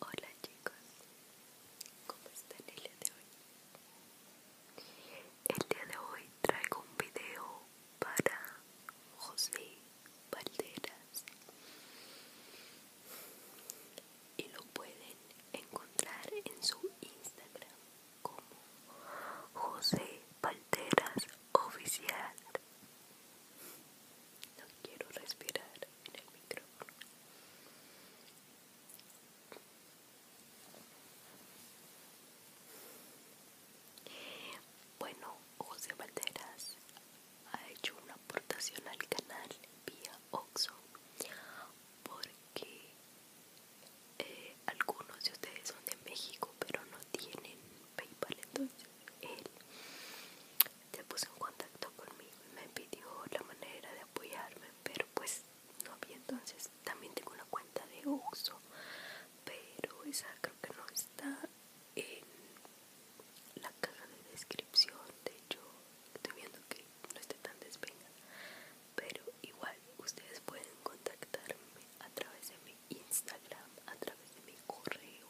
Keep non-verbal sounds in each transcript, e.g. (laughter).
Hola chicos, ¿cómo están el día de hoy? El día de hoy traigo un video para José Valderas y lo pueden encontrar en su Instagram como José Palteras Oficial. No quiero respirar en el micrófono. Bueno, José Valderas ha hecho una aportación al canal vía Oxo porque eh, algunos de ustedes son de México pero no tienen PayPal entonces él se puso en contacto conmigo y me pidió la manera de apoyarme pero pues no había entonces también tengo una cuenta de uso pero esa creo que no está en la caja de descripción de hecho estoy viendo que no esté tan despejada pero igual ustedes pueden contactarme a través de mi Instagram, a través de mi correo.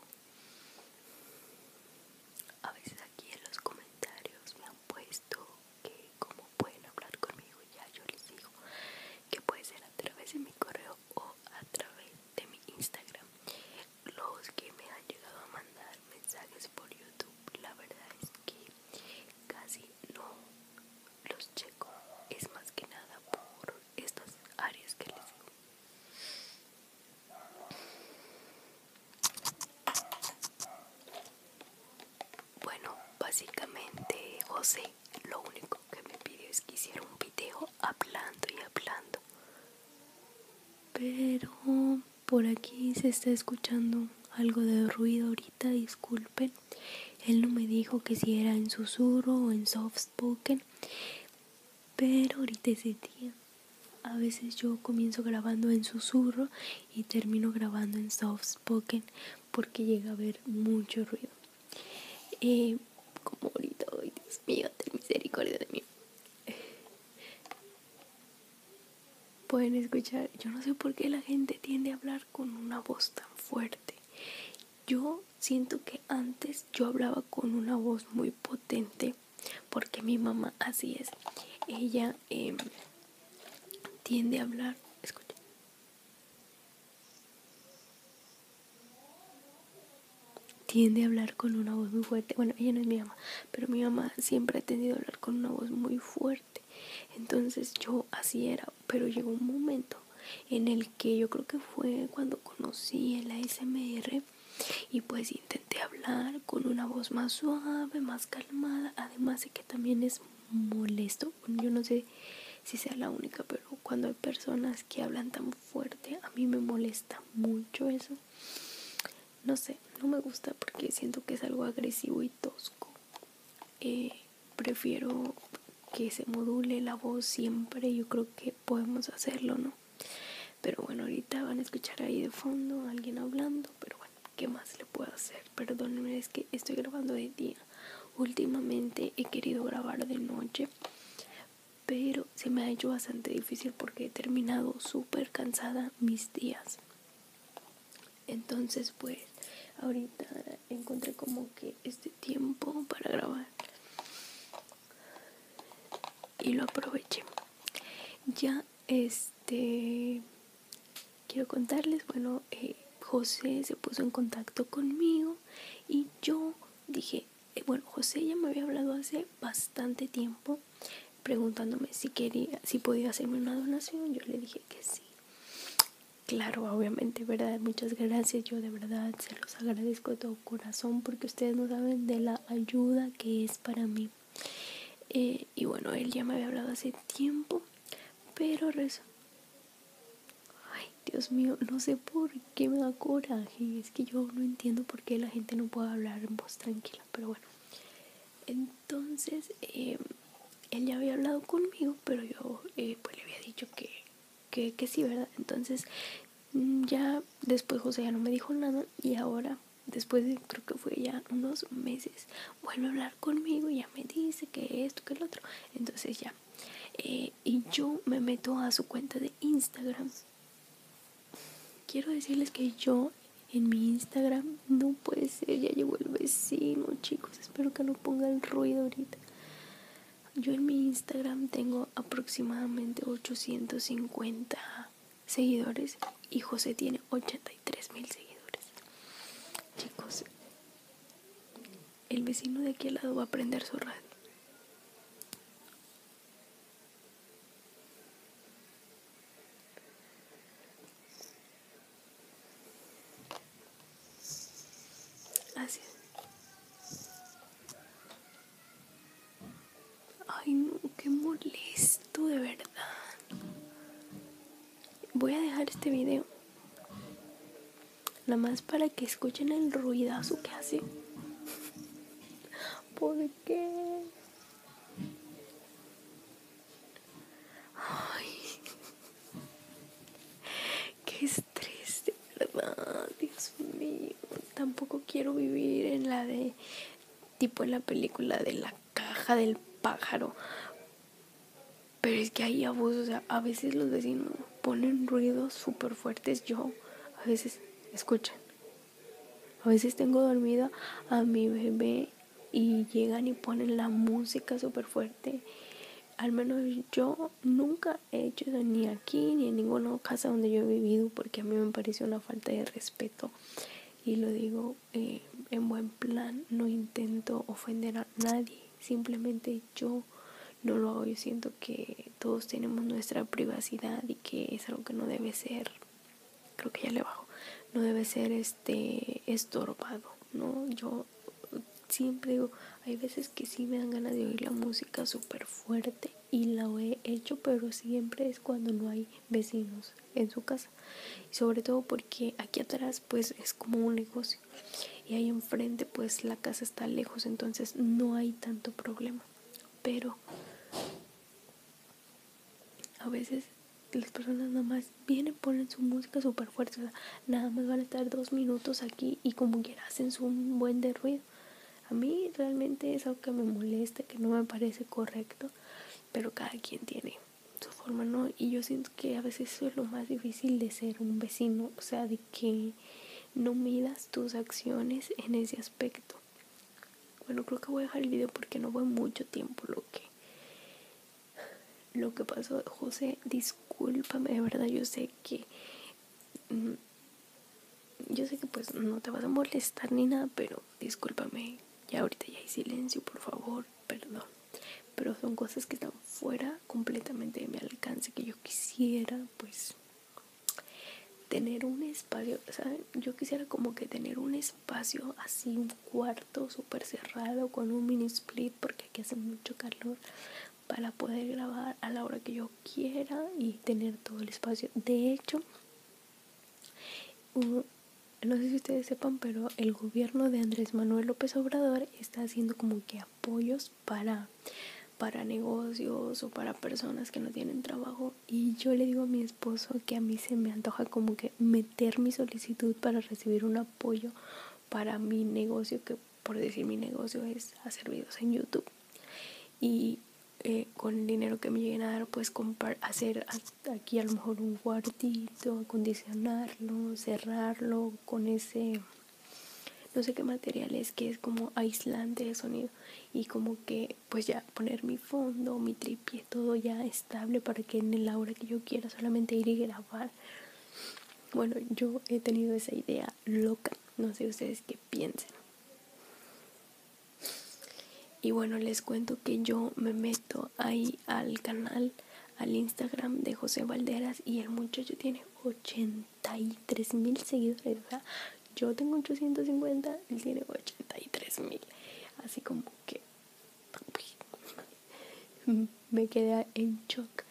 A veces aquí en los comentarios me han puesto que como pueden hablar conmigo, ya yo les digo que puede ser a través de mi correo o a través de mi Instagram. Los que me han llegado a mandar mensajes por YouTube, la verdad es que casi no los checo es más que nada por estas áreas que les digo bueno básicamente José lo único que me pidió es que hiciera un video hablando y hablando pero por aquí se está escuchando algo de ruido ahorita, disculpen. Él no me dijo que si era en susurro o en soft spoken, pero ahorita ese día. A veces yo comienzo grabando en susurro y termino grabando en soft spoken porque llega a haber mucho ruido. Eh, como ahorita, ay Dios mío, ten misericordia de mí pueden escuchar. Yo no sé por qué la gente tiende a hablar con una voz tan fuerte. Yo siento que antes yo hablaba con una voz muy potente porque mi mamá así es. Ella em, tiende a hablar. Escucha. Tiende a hablar con una voz muy fuerte. Bueno, ella no es mi mamá, pero mi mamá siempre ha tenido a hablar con una voz muy fuerte entonces yo así era, pero llegó un momento en el que yo creo que fue cuando conocí el ASMR y pues intenté hablar con una voz más suave, más calmada, además de que también es molesto. Yo no sé si sea la única, pero cuando hay personas que hablan tan fuerte, a mí me molesta mucho eso. No sé, no me gusta porque siento que es algo agresivo y tosco. Eh, prefiero que se module la voz siempre, yo creo que podemos hacerlo, ¿no? Pero bueno, ahorita van a escuchar ahí de fondo alguien hablando, pero bueno, ¿qué más le puedo hacer? Perdónenme, es que estoy grabando de día. Últimamente he querido grabar de noche, pero se me ha hecho bastante difícil porque he terminado súper cansada mis días. Entonces pues ahorita encontré como que este tiempo para grabar. Y lo aproveché. Ya este quiero contarles, bueno, eh, José se puso en contacto conmigo y yo dije, eh, bueno, José ya me había hablado hace bastante tiempo preguntándome si quería, si podía hacerme una donación. Yo le dije que sí. Claro, obviamente, ¿verdad? Muchas gracias. Yo de verdad se los agradezco de todo corazón porque ustedes no saben de la ayuda que es para mí. Eh, y bueno, él ya me había hablado hace tiempo, pero rezo. Ay, Dios mío, no sé por qué me da coraje. Es que yo no entiendo por qué la gente no puede hablar en voz tranquila, pero bueno. Entonces, em, él ya había hablado conmigo, pero yo eh, pues le había dicho que, sí, ¿verdad? Entonces, mm, ya después José ya no me dijo nada y ahora después de, creo que fue ya unos meses, vuelve a hablar conmigo y ya me dice que esto, que el otro. Entonces ya. Eh, y yo me meto a su cuenta de Instagram. Quiero decirles que yo en mi Instagram. No puede ser, ya llegó el vecino, chicos. Espero que no ponga el ruido ahorita. Yo en mi Instagram tengo aproximadamente 850 seguidores y José tiene 83 mil seguidores. Chicos, el vecino de aquí al lado va a prender su radio. Así Ay, no, qué molesto, de verdad. Voy a dejar este video. Nada más para que escuchen el ruidazo que hace. (laughs) ¿Por qué? Ay, qué estrés, de verdad, Dios mío. Tampoco quiero vivir en la de, tipo en la película de la caja del pájaro. Pero es que hay abusos, o sea, a veces los vecinos ponen ruidos súper fuertes. Yo a veces, escuchan, a veces tengo dormida a mi bebé y llegan y ponen la música súper fuerte. Al menos yo nunca he hecho eso ni aquí ni en ninguna casa donde yo he vivido porque a mí me pareció una falta de respeto y lo digo eh, en buen plan, no intento ofender a nadie, simplemente yo no lo hago, yo siento que todos tenemos nuestra privacidad y que es algo que no debe ser creo que ya le bajo, no debe ser este estorbado, ¿no? Yo siempre digo, hay veces que sí me dan ganas de oír la música súper fuerte y la he hecho, pero siempre es cuando no hay vecinos en su casa. Y sobre todo porque aquí atrás pues es como un negocio y ahí enfrente pues la casa está lejos, entonces no hay tanto problema. Pero a veces las personas nada más vienen, ponen su música súper fuerte, nada más van a estar dos minutos aquí y como que hacen su buen derruido. ruido. A mí realmente es algo que me molesta, que no me parece correcto, pero cada quien tiene su forma, ¿no? Y yo siento que a veces eso es lo más difícil de ser un vecino, o sea, de que no midas tus acciones en ese aspecto. Bueno, creo que voy a dejar el video porque no fue mucho tiempo lo que lo que pasó. José, discúlpame, de verdad, yo sé que mm, yo sé que pues no te vas a molestar ni nada, pero discúlpame. Ya ahorita ya hay silencio, por favor, perdón. Pero son cosas que están fuera completamente de mi alcance, que yo quisiera pues tener un espacio, Yo quisiera como que tener un espacio espacio así, un cuarto súper cerrado con un mini split porque aquí hace mucho calor para poder grabar a la hora que yo quiera y tener todo el espacio. De hecho, no sé si ustedes sepan, pero el gobierno de Andrés Manuel López Obrador está haciendo como que apoyos para, para negocios o para personas que no tienen trabajo y yo le digo a mi esposo que a mí se me antoja como que meter mi solicitud para recibir un apoyo para mi negocio, que por decir mi negocio es hacer videos en YouTube. Y eh, con el dinero que me lleguen a dar, pues hacer aquí a lo mejor un cuartito, acondicionarlo, cerrarlo con ese no sé qué material es que es como aislante de sonido y como que pues ya poner mi fondo, mi tripié, todo ya estable para que en el hora que yo quiera solamente ir y grabar. Bueno, yo he tenido esa idea loca, no sé ustedes qué piensen. Y bueno, les cuento que yo me meto ahí al canal, al Instagram de José Valderas y el muchacho tiene 83 mil seguidores. yo tengo 850, él tiene 83 mil. Así como que me quedé en shock.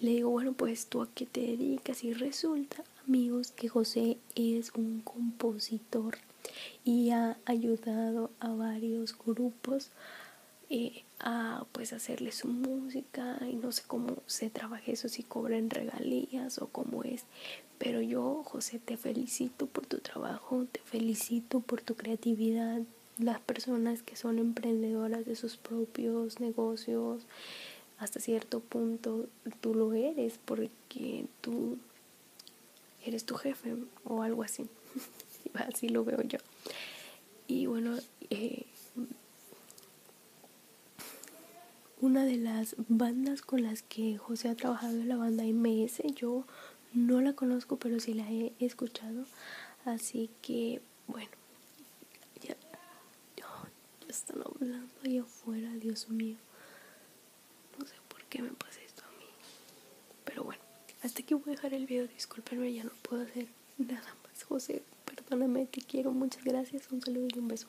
Le digo, bueno, pues tú a qué te dedicas y resulta, amigos, que José es un compositor y ha ayudado a varios grupos eh, a pues hacerle su música y no sé cómo se trabaja eso, si cobran regalías o cómo es, pero yo, José, te felicito por tu trabajo, te felicito por tu creatividad. Las personas que son emprendedoras de sus propios negocios, hasta cierto punto tú lo eres porque tú eres tu jefe o algo así. (laughs) así lo veo yo. Y bueno, eh, una de las bandas con las que José ha trabajado es la banda MS. Yo no la conozco, pero sí la he escuchado. Así que, bueno, ya, ya, ya están hablando allá afuera, Dios mío. No sé por qué me pasa esto a mí. Pero bueno, hasta que voy a dejar el video. Discúlpenme, ya no puedo hacer nada más. José, perdóname, te quiero. Muchas gracias. Un saludo y un beso.